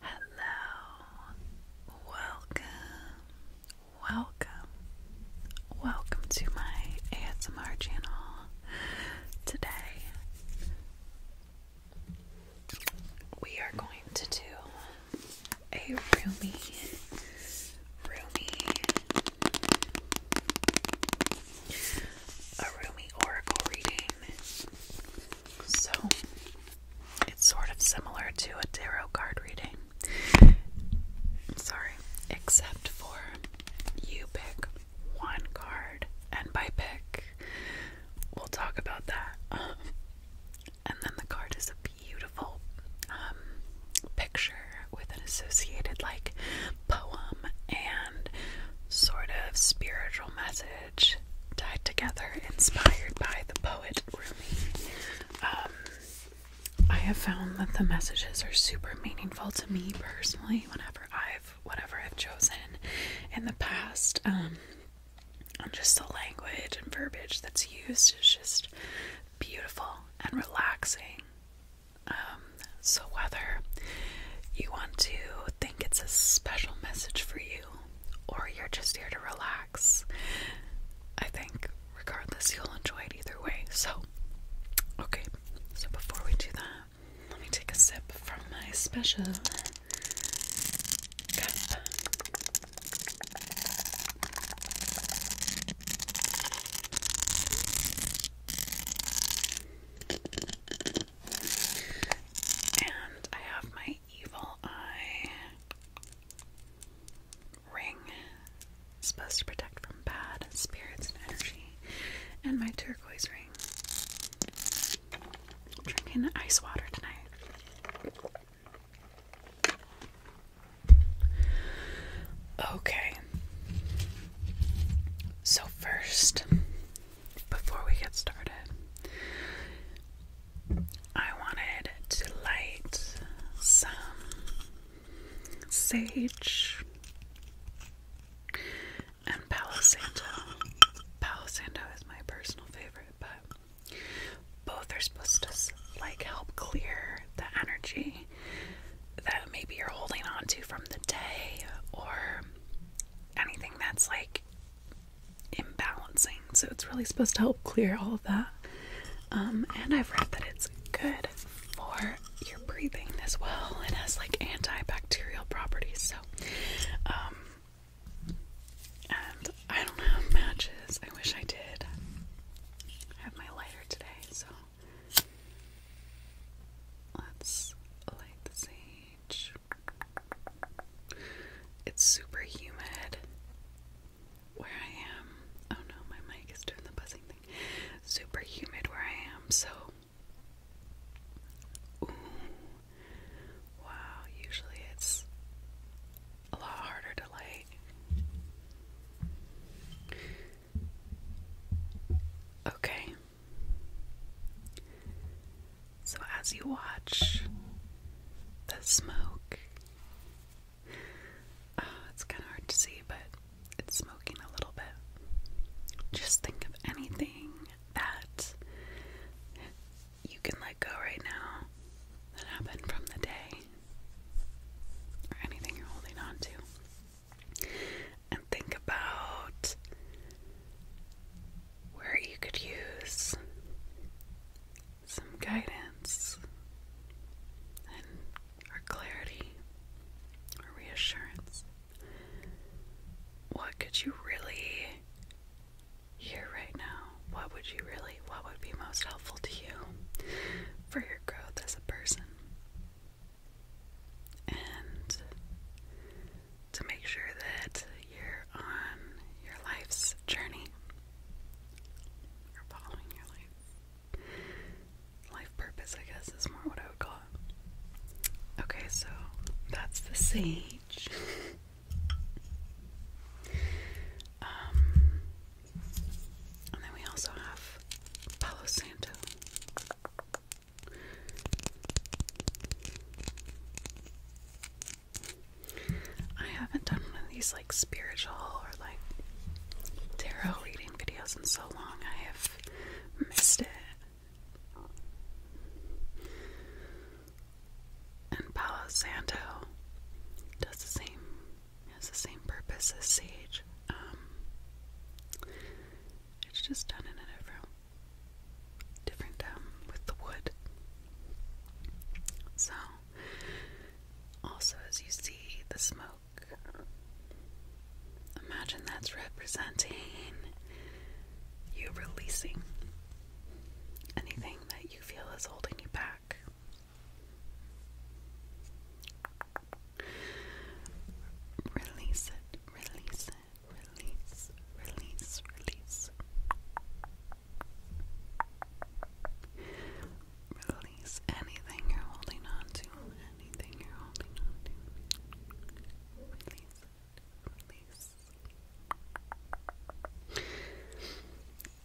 Hello, welcome, welcome, welcome to my ASMR channel. Today, we are going to do a roomy, roomy, a roomy oracle reading. So it's sort of similar to a tarot card reading. Sorry, except for you pick one card, and by pick, we'll talk about that. Um, and then the card is a beautiful um, picture with an associated like poem and sort of spiritual message tied together, inspired by the poet Rumi. Um, I have found that the messages are super meaningful to me personally. Whenever I've whatever I've chosen in the past, um, and just the language and verbiage that's used is just beautiful and relaxing. Um, so whether you want to it's a special message for you or you're just here to relax. I think, regardless, you'll enjoy it either way. So, okay, so before we do that, let me take a sip from my special cup. And I have my evil eye ring. supposed to protect from bad spirits and energy. And my turquoise ring. drinking ice water tonight. Okay. So, first, before we get started, I wanted to light some sage and palisanto. Palisanto is my personal favorite, but both are supposed to like help clear the energy that maybe you're holding on to from the day or anything that's like imbalancing. So it's really supposed to help clear all of that. Um, and I've read that it's good for your breathing as well. It has like antibacterial properties. So, um, and I don't have matches. I wish I did. I have my lighter today, so let's light the sage. It's super humid where I am. Oh no, my mic is doing the buzzing thing. Super humid where I am, so. Ooh. Wow, usually it's a lot harder to light. Okay. So, as you watch the smoke, uh, it's kind of hard to see, but it's smoking a little bit. Just think of anything that you can let go right now that happened from the day, or anything you're holding on to and think about where you could use some guidance and or clarity or reassurance. What could you really hear right now? What would you really what would be most helpful to you for your growth as a person? and to make sure that you're on your life's journey or following your life. Life purpose, I guess, is more what I would call Okay, so that's the sage. um, and then we also have Palo Santo. I haven't done one of these like spiritual or like tarot reading videos in so long. I have missed it. And Palo Santo does the same has the same purpose as Sage. Um, it's just done in a different different um, with the wood. So, also as you see the smoke, imagine that's representing you releasing anything that you feel is holding you back. Release it, release it release, release, release. Release anything you're holding on to, anything you're holding on to. Release release.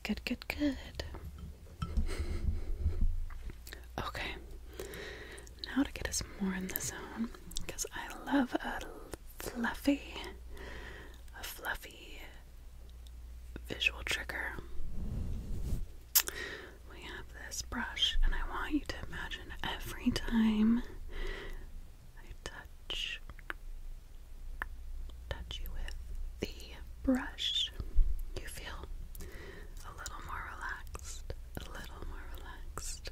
Good, good, good. Okay. Now to get us more in the zone, because I love a fluffy, a fluffy visual trigger. We have this brush, and I want you to imagine every time I touch touch you with the brush, you feel a little more relaxed, a little more relaxed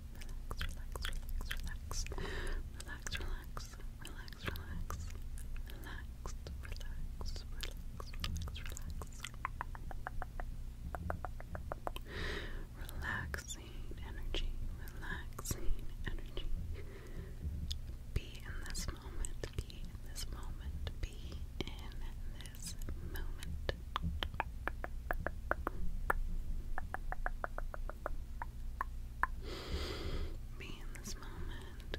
relax, relax, relax, relax, relax, relax, relax, relax, relax, relax, relax, relaxing energy, relaxing energy. Be in this moment, be in this moment, be in this moment. Be in this moment.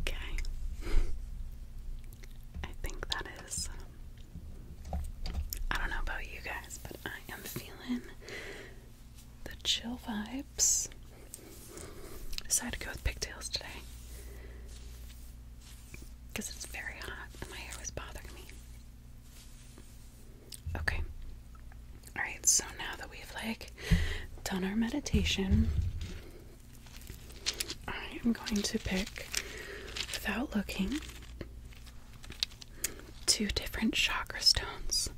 okay. I think that is. Um, I don't know about you guys, but I am feeling the chill vibe. I Decided to go with pigtails today because it's very hot and my hair was bothering me. Okay. Alright, so now that we've like done our meditation, I am going to pick, without looking, two different chakra stones.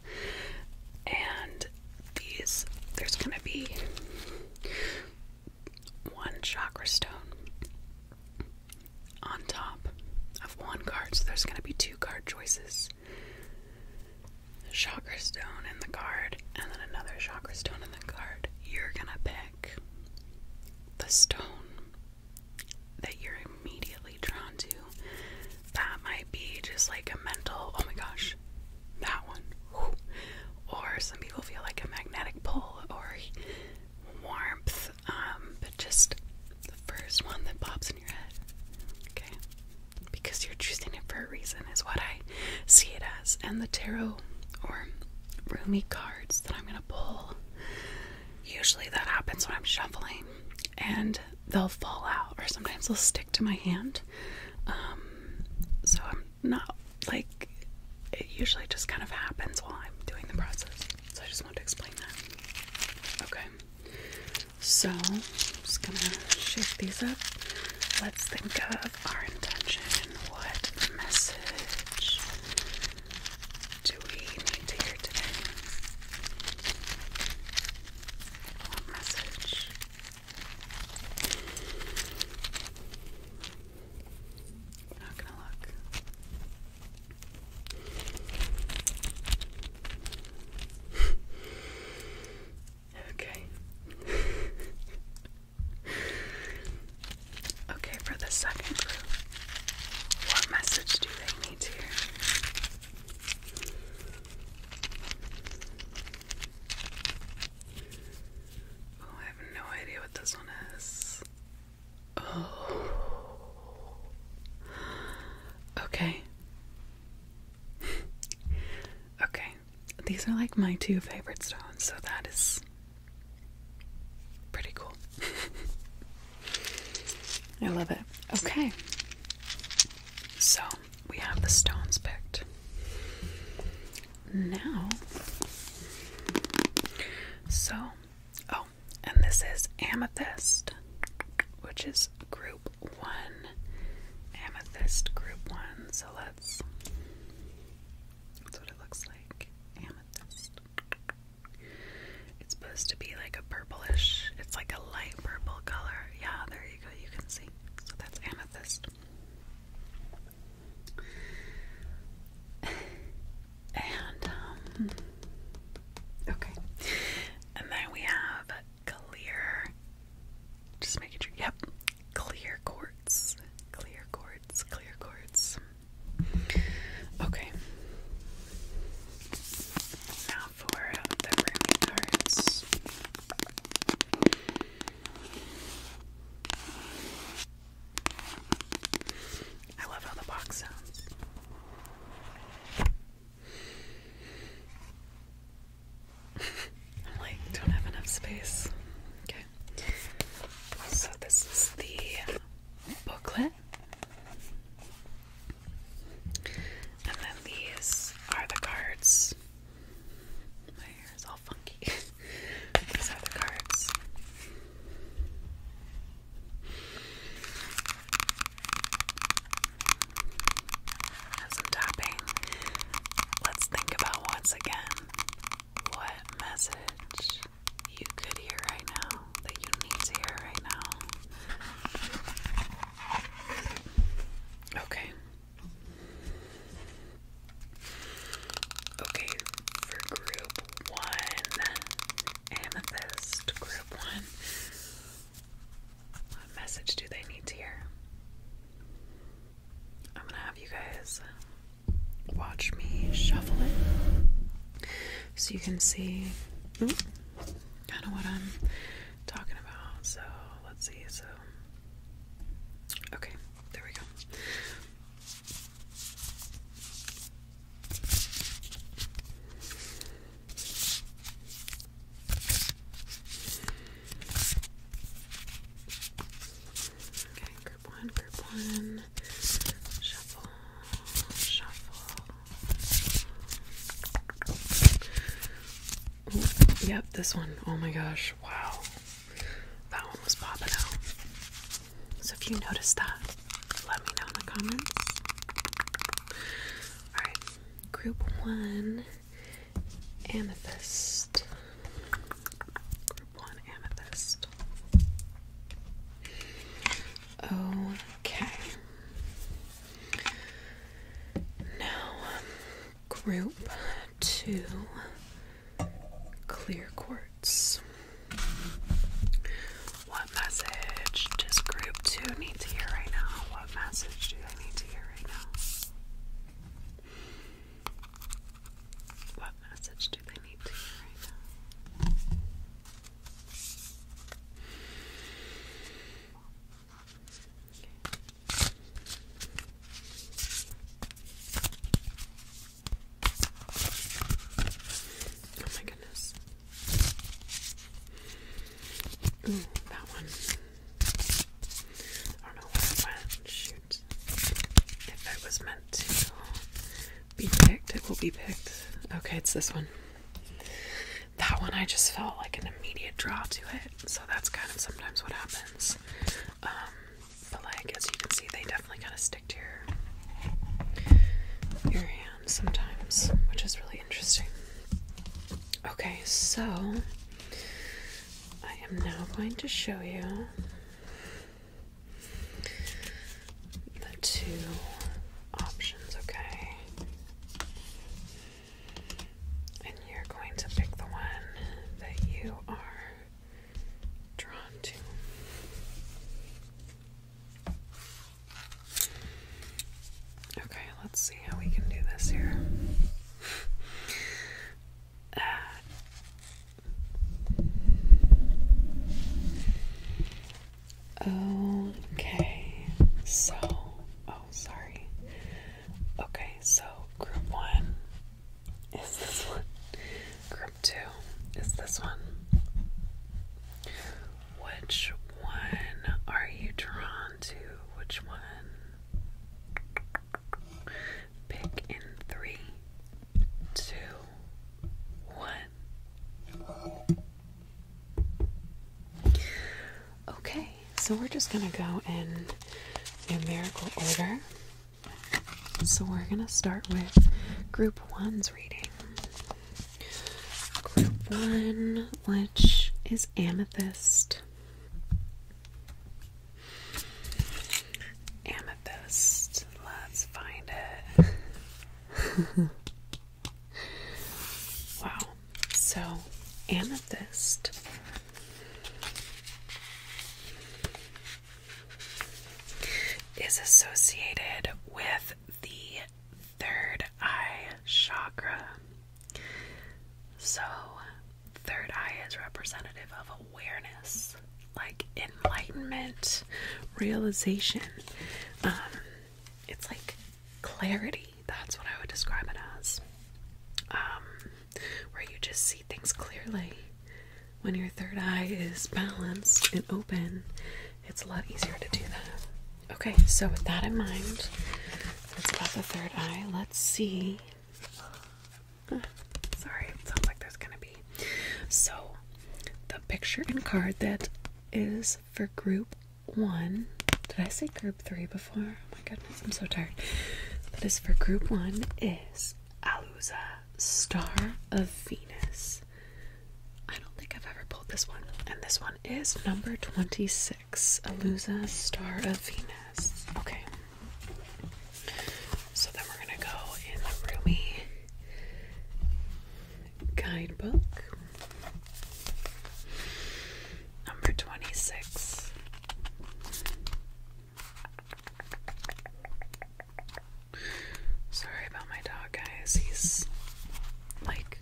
And these there's gonna be one chakra stone on top of one card, so there's gonna be two card choices. chakra stone in the card, and then another chakra stone in the card. You're gonna pick the stone that you're immediately drawn to. That might be just like a mental, oh my gosh, that one. Or some people feel like a magnetic pull or warmth, um, but just the first one that pops in your head. Okay? Because you're choosing it for a reason, is what I see it as. And the tarot or roomy cards that I'm going to pull, usually that happens when I'm shuffling and they'll fall out, or sometimes they'll stick to my hand. Um, so I'm not like it usually just kind of happens while I'm doing the process. So I just want to explain that. Okay. So I'm just gonna shake these up. Let's think of our intention. What message do we need to hear today? What message not gonna look. okay. okay, for the second group, what message do they need here? Oh, I have no idea what this one is. Oh. Okay. okay. These are like my two favorite stones, so that is pretty cool. I love it. Okay. So, we have the stones picked. Now, so, oh, and this is amethyst, which is group one. Amethyst group one. So let's, that's what it looks like. Amethyst. It's supposed to be like a purplish, it's like a light purple color. Yeah, there you go, you can see. So that's amethyst. And, um, okay. And then we have clear, just making sure, yep, clear quartz, clear quartz, clear quartz. Okay now for the roomie cards. I love how the box sounds. I'm like, don't have enough space. Okay. So, this is the booklet. And then these are the cards my hair is all funky. These are the cards. Have some tapping. Let's think about once again what message you could hear right now that you need to hear right now. Okay, Okay, for group one, amethyst, group one, what message do they need to hear? I'm gonna have you guys watch me shuffle it so you can see hmm, kind of what I'm talking about. So let's see, so okay, there we go. Okay, group one, group one, shuffle, shuffle. Yep, this one. Oh my gosh. Wow. That one was popping out. So if you noticed that, let me know in the comments. Alright, group one amethyst. Group one amethyst. Okay. Now, um, group two clear quartz. What message does group two need to hear right now? What message do they need to hear right now? What message do they need to hear right now? Oh my goodness. Mm, that one. I don't know where Shoot. If it was meant to be picked, it will be picked. Okay, it's this one that one I just felt like an immediate draw to it. So that's kind of sometimes what happens. Um, but like as you can see, they definitely kind of stick to your your hand sometimes, which is really interesting. Okay, so I am now going to show you the two options, okay? And you're going to pick the one that you are drawn to. Okay, let's see how we can do this here. Uh, okay, so, Oh, sorry. Okay, so group one is this one. Group two is this one. Which one are you drawn to? Which one? Pick in three, two, one. Okay, so we're just going to go in numerical order. So we're going to start with group one's reading. Group one, which is amethyst. Amethyst. Let's find it. Wow. So, amethyst. Is associated with the third eye chakra. So, third eye is representative of awareness, like enlightenment, realization. Um, it's like clarity. That's what I would describe it as. Um, where you just see things clearly. When your third eye is balanced and open, it's a lot easier to do that. Okay, so with that in mind, it's about the third eye. Let's see. Ah, sorry, it sounds like there's gonna be. So, the picture and card that is for group one. Did I say group three before? Oh my goodness, I'm so tired. That is for group one is Alusa Star of Venus. I don't think I've ever pulled this one. And this one is number 26, Alusa Star of Venus. Okay. So then we're going to go in the roomy guidebook. Number 26. Sorry about my dog, guys. He's like,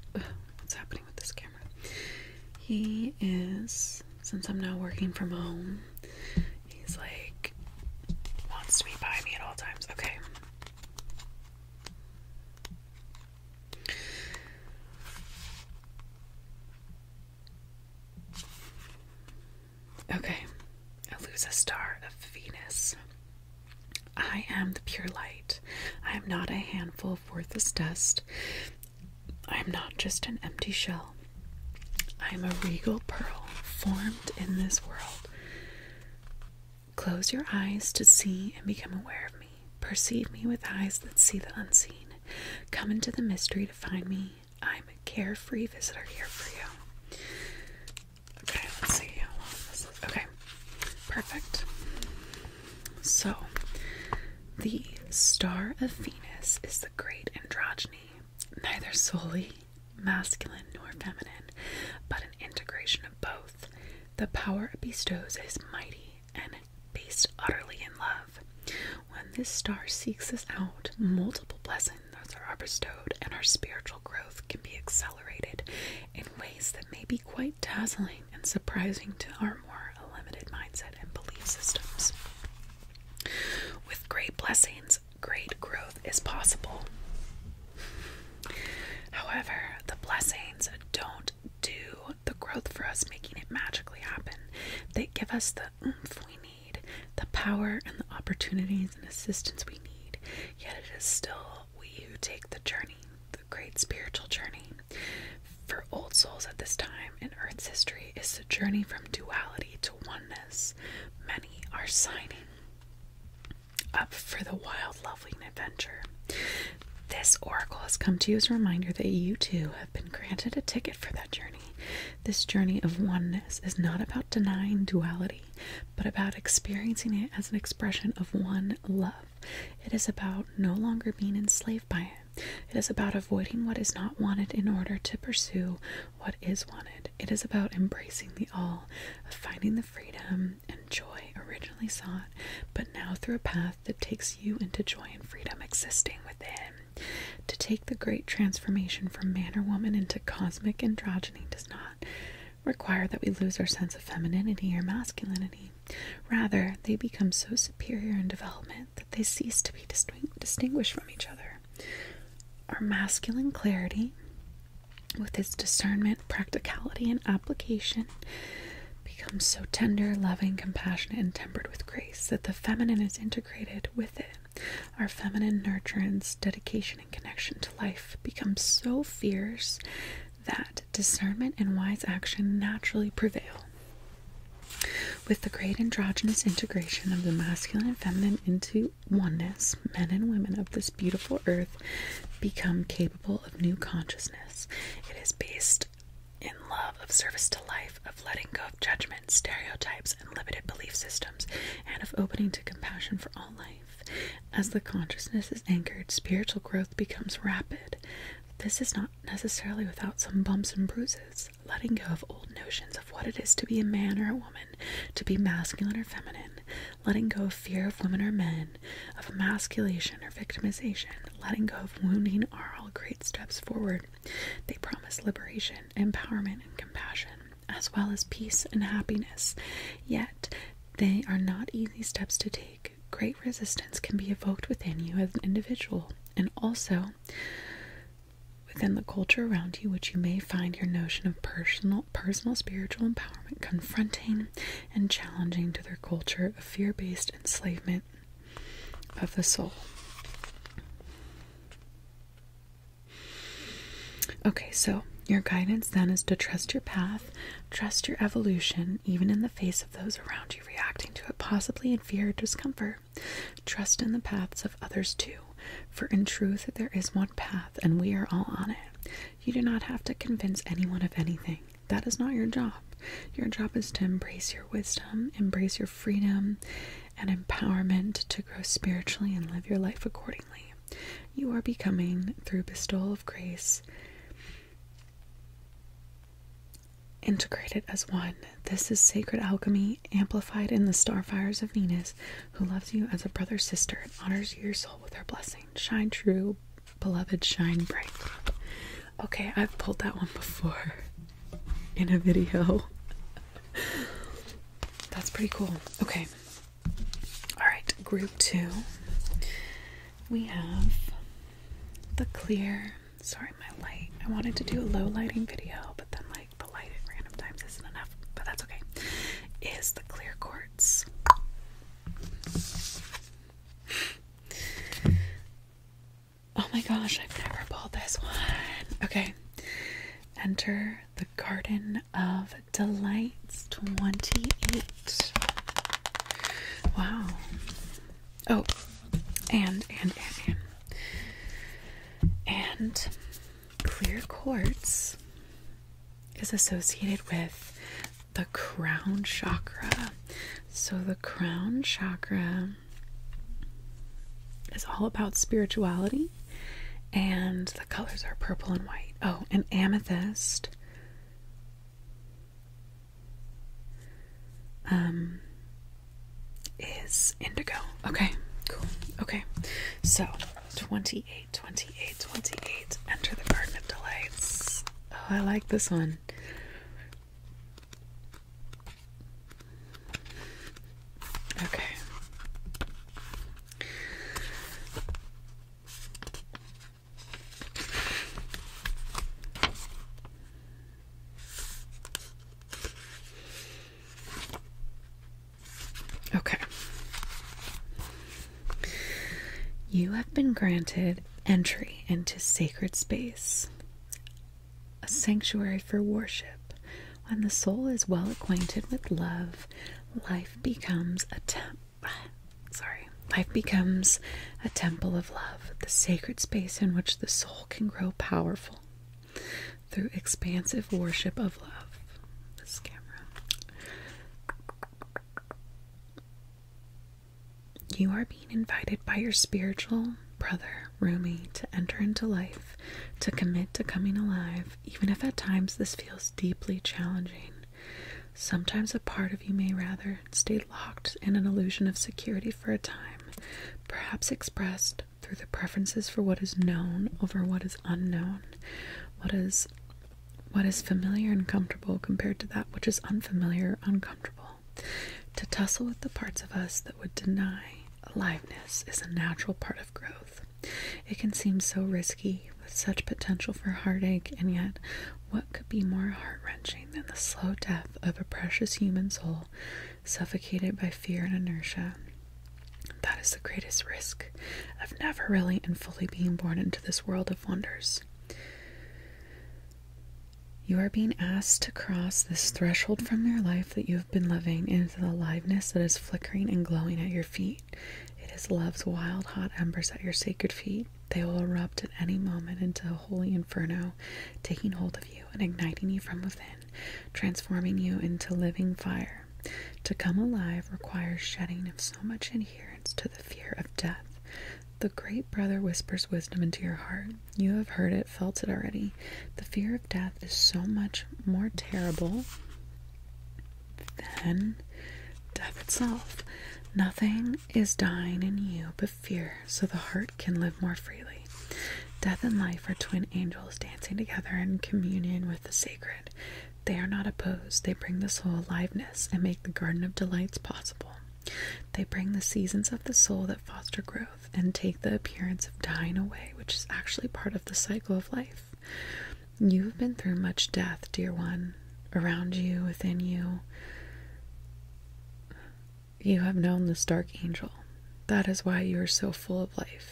what's happening with this camera? He is, since I'm now working from home, he's like, wants to be by me at all times. Okay. Okay, I lose a star of Venus. I am the pure light. I am not a handful of worthless dust. I am not just an empty shell. I am a regal pearl formed in this world. Close your eyes to see and become aware of me. Perceive me with eyes that see the unseen. Come into the mystery to find me. I'm a carefree visitor here for you. Okay, let's see how long this is. Okay, perfect. So, the star of Venus is the great androgyny, neither solely masculine nor feminine, but an integration of both. The power it bestows is mighty and based utterly in love. When this star seeks us out, multiple blessings are bestowed and our spiritual growth can be accelerated in ways that may be quite dazzling and surprising to our more limited mindset and belief systems. With great blessings, great growth is possible. However, the blessings don't do the growth for us, making it magically happen. They give us the oomph we need, the power and the opportunities and assistance we need. Yet it is still we who take the journey, the great spiritual journey. For old souls at this time in Earth's history is the journey from duality to oneness. Many are signing up for the wild, loving adventure. This oracle has come to you as a reminder that you too have been granted a ticket for that journey. This journey of oneness is not about denying duality, but about experiencing it as an expression of one love. It is about no longer being enslaved by it. It is about avoiding what is not wanted in order to pursue what is wanted. It is about embracing the all, of finding the freedom, and joy originally sought, but now through a path that takes you into joy and freedom existing within. To take the great transformation from man or woman into cosmic androgyny does not require that we lose our sense of femininity or masculinity. Rather, they become so superior in development that they cease to be distinguished from each other. Our masculine clarity with its discernment, practicality, and application, becomes so tender, loving, compassionate, and tempered with grace that the feminine is integrated with it. Our feminine nurturance, dedication, and connection to life becomes so fierce that discernment and wise action naturally prevail. With the great androgynous integration of the masculine and feminine into oneness, men and women of this beautiful earth become capable of new consciousness. It is based in love of service to life, of letting go of judgments, stereotypes, and limited belief systems, and of opening to compassion for all life. As the consciousness is anchored, spiritual growth becomes rapid. This is not necessarily without some bumps and bruises. Letting go of old notions of what it is to be a man or a woman, to be masculine or feminine, letting go of fear of women or men, of emasculation or victimization, letting go of wounding are all great steps forward. They promise liberation, empowerment, and compassion, as well as peace and happiness. Yet, they are not easy steps to take. Great resistance can be evoked within you as an individual, and also within the culture around you, which you may find your notion of personal personal spiritual empowerment confronting and challenging to their culture of fear based enslavement of the soul. Okay, so your guidance then is to trust your path, trust your evolution, even in the face of those around you reacting to it, possibly in fear or discomfort. Trust in the paths of others too, for in truth there is one path and we are all on it. You do not have to convince anyone of anything. That is not your job. Your job is to embrace your wisdom, embrace your freedom and empowerment to grow spiritually and live your life accordingly. You are becoming, through bestowal of grace, integrated as one. This is sacred alchemy amplified in the star fires of Venus, who loves you as a brother sister and honors your soul with her blessing shine, true, beloved, shine bright. Okay, I've pulled that one before in a video. That's pretty cool. Okay. Alright, group two. We have the clear. Sorry, my light. I wanted to do a low lighting video, but then, like, the light at random times isn't enough, but that's okay. Is the clear core Oh my gosh, I've never pulled this one. Okay. Enter the Garden of Delights 28. Wow. Oh, and, and, and, and. And clear quartz is associated with the crown chakra. So, the crown chakra is all about spirituality, and the colors are purple and white. Oh, and amethyst. Um, is indigo. Okay, cool. Okay, so 28. 28, 28, Enter the Garden of Delights. Oh, I like this one. Okay. Okay. You have been granted entry into sacred space, a sanctuary for worship. When the soul is well acquainted with love, life becomes a temple. Sorry, life becomes a temple of love, the sacred space in which the soul can grow powerful through expansive worship of love. This camera. You are being invited by your spiritual brother, Rumi, to enter into life, to commit to coming alive, even if at times this feels deeply challenging. Sometimes a part of you may rather stay locked in an illusion of security for a time, perhaps expressed through the preferences for what is known over what is unknown, what is what is familiar and comfortable compared to that which is unfamiliar, uncomfortable? To tussle with the parts of us that would deny aliveness is a natural part of growth. It can seem so risky, with such potential for heartache, and yet, what could be more heart wrenching than the slow death of a precious human soul suffocated by fear and inertia? That is the greatest risk of never really and fully being born into this world of wonders. You are being asked to cross this threshold from your life that you have been living into the aliveness that is flickering and glowing at your feet. It is love's wild, hot embers at your sacred feet. They will erupt at any moment into a holy inferno, taking hold of you and igniting you from within, transforming you into living fire to come alive requires shedding of so much adherence to the fear of death. The great brother whispers wisdom into your heart. You have heard it, felt it already. The fear of death is so much more terrible than death itself. Nothing is dying in you but fear, so the heart can live more freely. Death and life are twin angels dancing together in communion with the sacred. They are not opposed. They bring the soul aliveness and make the garden of delights possible. They bring the seasons of the soul that foster growth and take the appearance of dying away, which is actually part of the cycle of life. You have been through much death, dear one, around you, within you. You have known the stark angel. That is why you are so full of life.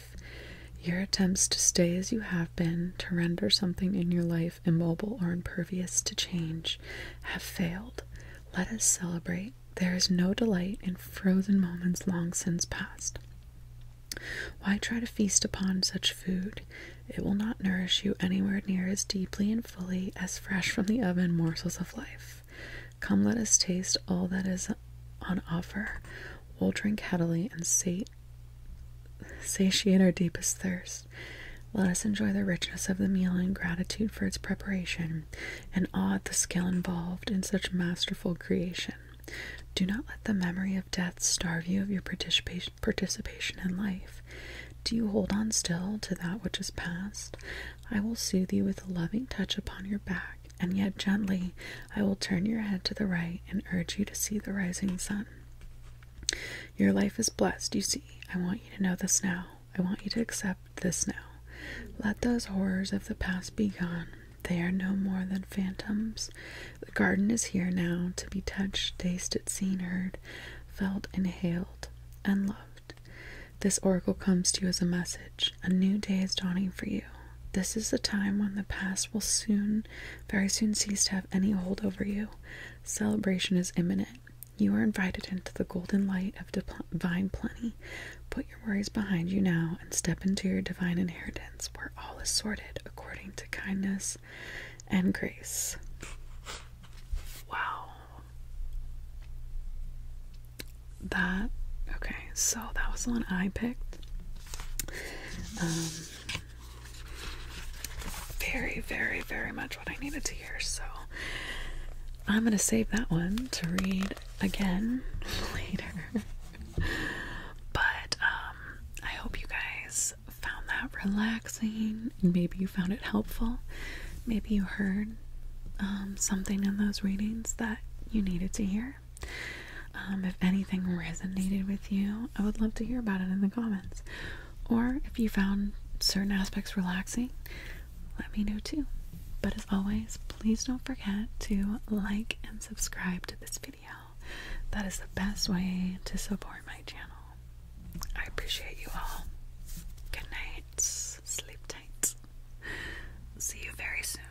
Your attempts to stay as you have been, to render something in your life immobile or impervious to change, have failed. Let us celebrate. There is no delight in frozen moments long since past. Why try to feast upon such food? It will not nourish you anywhere near as deeply and fully as fresh from the oven morsels of life. Come, let us taste all that is on offer. We'll drink heavily and sate satiate our deepest thirst. Let us enjoy the richness of the meal in gratitude for its preparation and awe at the skill involved in such masterful creation. Do not let the memory of death starve you of your participation, participation in life. Do you hold on still to that which is past? I will soothe you with a loving touch upon your back, and yet gently I will turn your head to the right and urge you to see the rising sun. Your life is blessed, you see. I want you to know this now. I want you to accept this now. Let those horrors of the past be gone. They are no more than phantoms. The garden is here now to be touched, tasted, seen, heard, felt, inhaled, and loved. This oracle comes to you as a message. A new day is dawning for you. This is the time when the past will soon, very soon, cease to have any hold over you. Celebration is imminent. You are invited into the golden light of divine plenty. Put your worries behind you now and step into your divine inheritance where all is sorted according to kindness and grace. Wow. That, okay, so that was the one I picked. Um, very, very, very much what I needed to hear. So I'm going to save that one to read again later. but um, I hope you guys found that relaxing. and Maybe you found it helpful. Maybe you heard um, something in those readings that you needed to hear. Um, if anything resonated with you, I would love to hear about it in the comments. Or if you found certain aspects relaxing, let me know too. But as always, please don't forget to like and subscribe to this video. That is the best way to support my channel. I appreciate you all. Good night. Sleep tight. See you very soon.